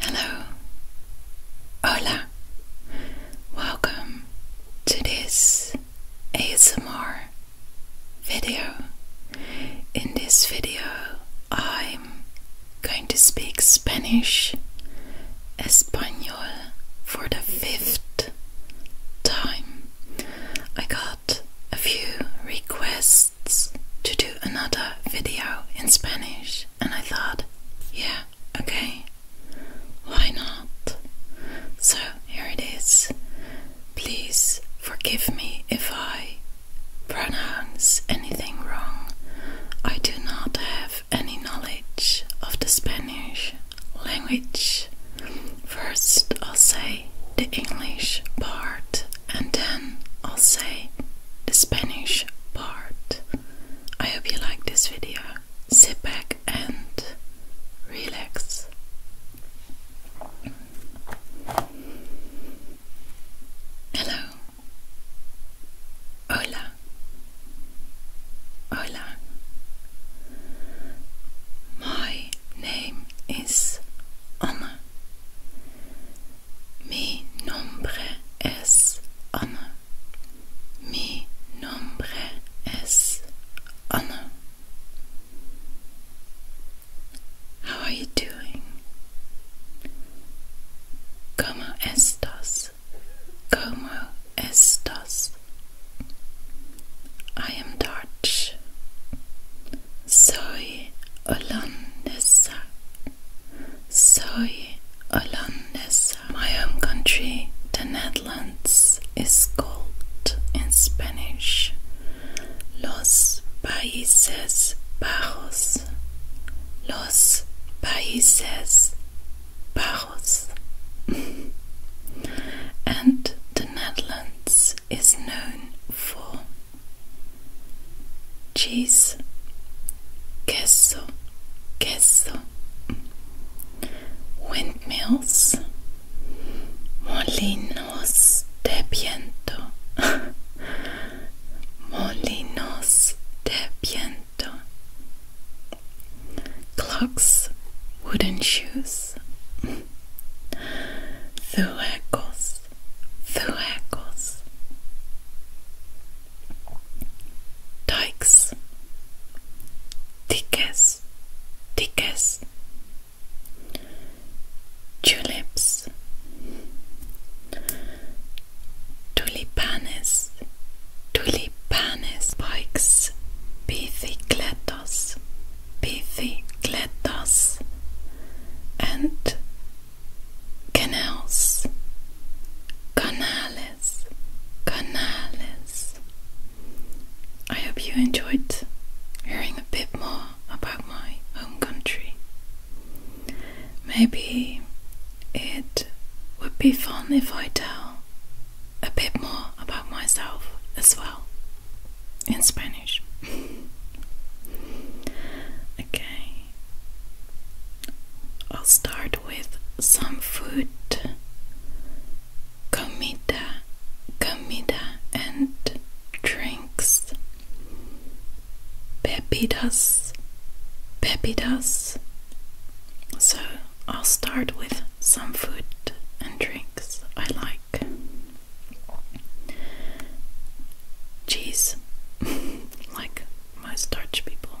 Hello, hola, welcome to this ASMR video. In this video, I'm going to speak Spanish, Espanol, for the fifth time. I got a few requests to do another video in Spanish and I thought, yeah, okay, why not? So here it is. Please forgive me if I pronounce anything wrong. I do not have any knowledge of the Spanish language. First, I'll say the English part, and then I'll say the Spanish part. I hope you like this video. Sit back and relax. Hello. Hola. Hola. My name is Anna. How are you doing? Como estas? Como estas? I am Dutch. Soy holandesa. So, Hollandes. My home country, the Netherlands, is called in Spanish Los Países Bajos. Los Países Bajos. and the Netherlands is known for cheese, queso, queso, windmills, molinos de viento, molinos de viento, clocks, wooden shoes, zuecos, zuecos. Dikes, dikes, dikes, Tulips, Tulipanes, Tulipanes, Bikes, Bicicletas, Bicicletas, and canals, canales, canales. I hope you enjoyed hearing a bit more about my home country. Maybe it would be fun if I tell a bit more about myself as well in Spanish. okay, I'll start with some food. Comida, comida, and drinks. Bebidas, bebidas. So I'll start with some food and drinks I like. Cheese, like most Dutch people.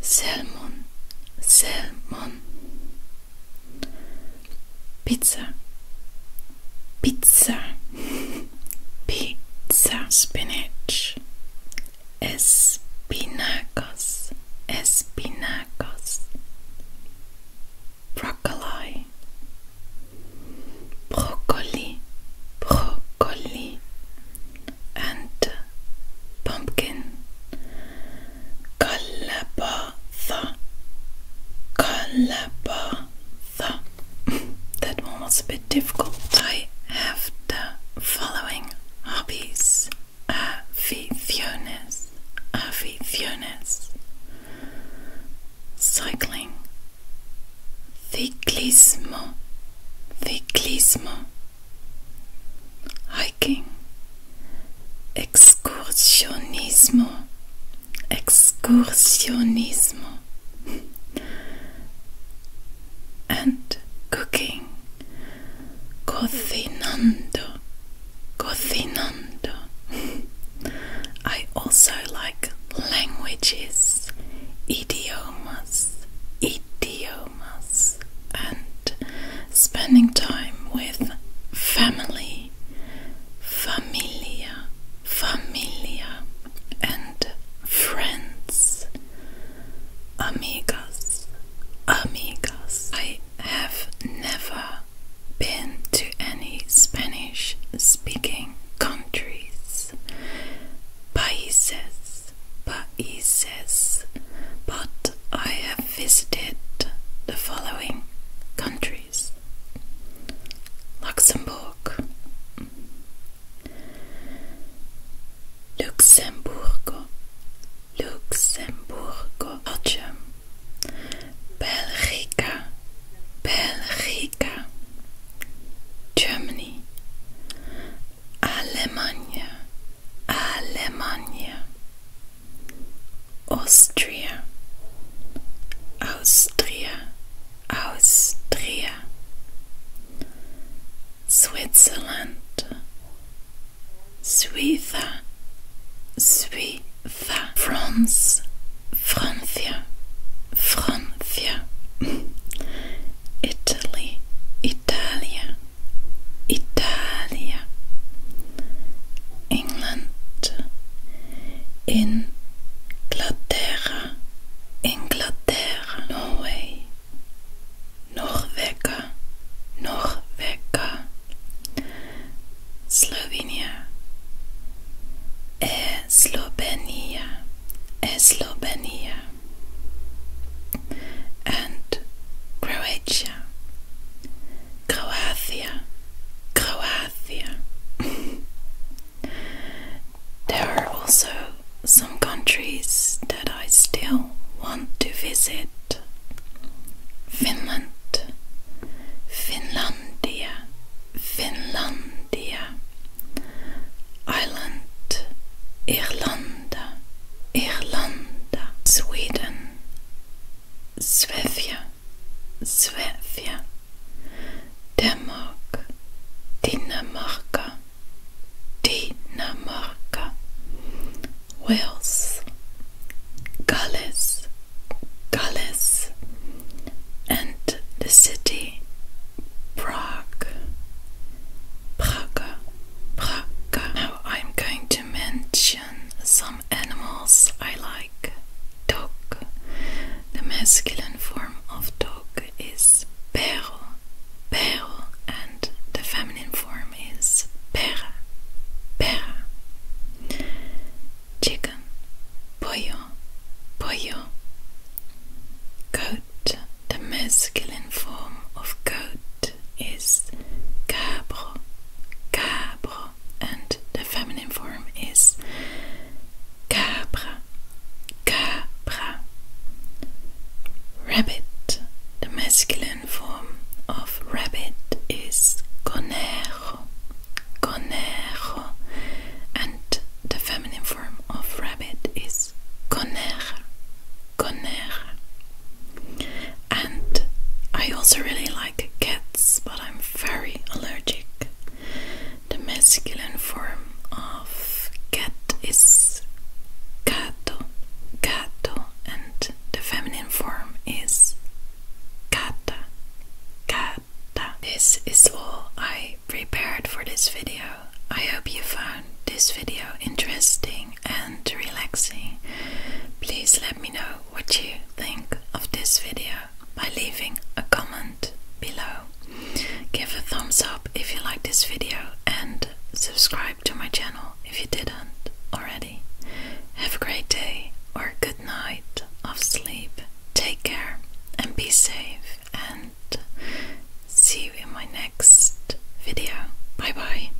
Salmon, salmon. Pizza, pizza, pizza. Spinach, espinacos, espinacos. Broccoli, broccoli, broccoli. And pumpkin, Kalabatha. Kalabatha. that one was a bit difficult. I have the following hobbies. Aficiones. Aficiones. Cycling. Ciclismo. Ciclismo hiking, excursionismo, excursionismo, and cooking, cocinando, cocinando. I also like languages, idiomas, idiomas and spending time with family, familia, familia, and friends, amigas, amigas. I have never been to any Spanish speaking countries, países, países, but I have visited the following countries Luxembourg, Luxembourg, Luxembourg, Belgium, Belgium, Germany, Alemania, Austria, Austria, Austria, Switzerland, Suiza, Suiza, France, Francia, Francia, Italy, Italia. Italy, England, in in Inglaterra, Norway, Norvega, Norvega, Slovenia, eh, Slovenia, eh, Slovenia, and Croatia. Croatia, Croatia, there are also some countries that I still want to visit Finland, Finlandia, Finlandia, Ireland, Irlanda, Irlanda, Sweden. Svefia, Svefia, Denmark, Denmark, Denmark, Wales, Gullis, Gullis, and the city Prague, Praga, Praga. Now I'm going to mention some animals I like. Dog. The masculine form of dog is perro, perro, and the feminine form is perra, perra. Chicken, pollo, pollo. Goat, the masculine form of goat coat is cabro, cabro, and the feminine form is cabra, cabra. Rabbit, the masculine form of rabbit is conejo, conejo, and the feminine form of rabbit is coneja, Conair. And I also really like cats, but I'm very allergic. The masculine form of cat is gato, gato, and the feminine form is gata, gata. This is all I prepared for this video. I hope you found this video interesting and relaxing. Please let me know what you think of this video by leaving a comment below. Give a thumbs up if you like this video and subscribe to my channel if you didn't already. Have a great day or good night of sleep. Take care and be safe and see you in my next video. Bye bye.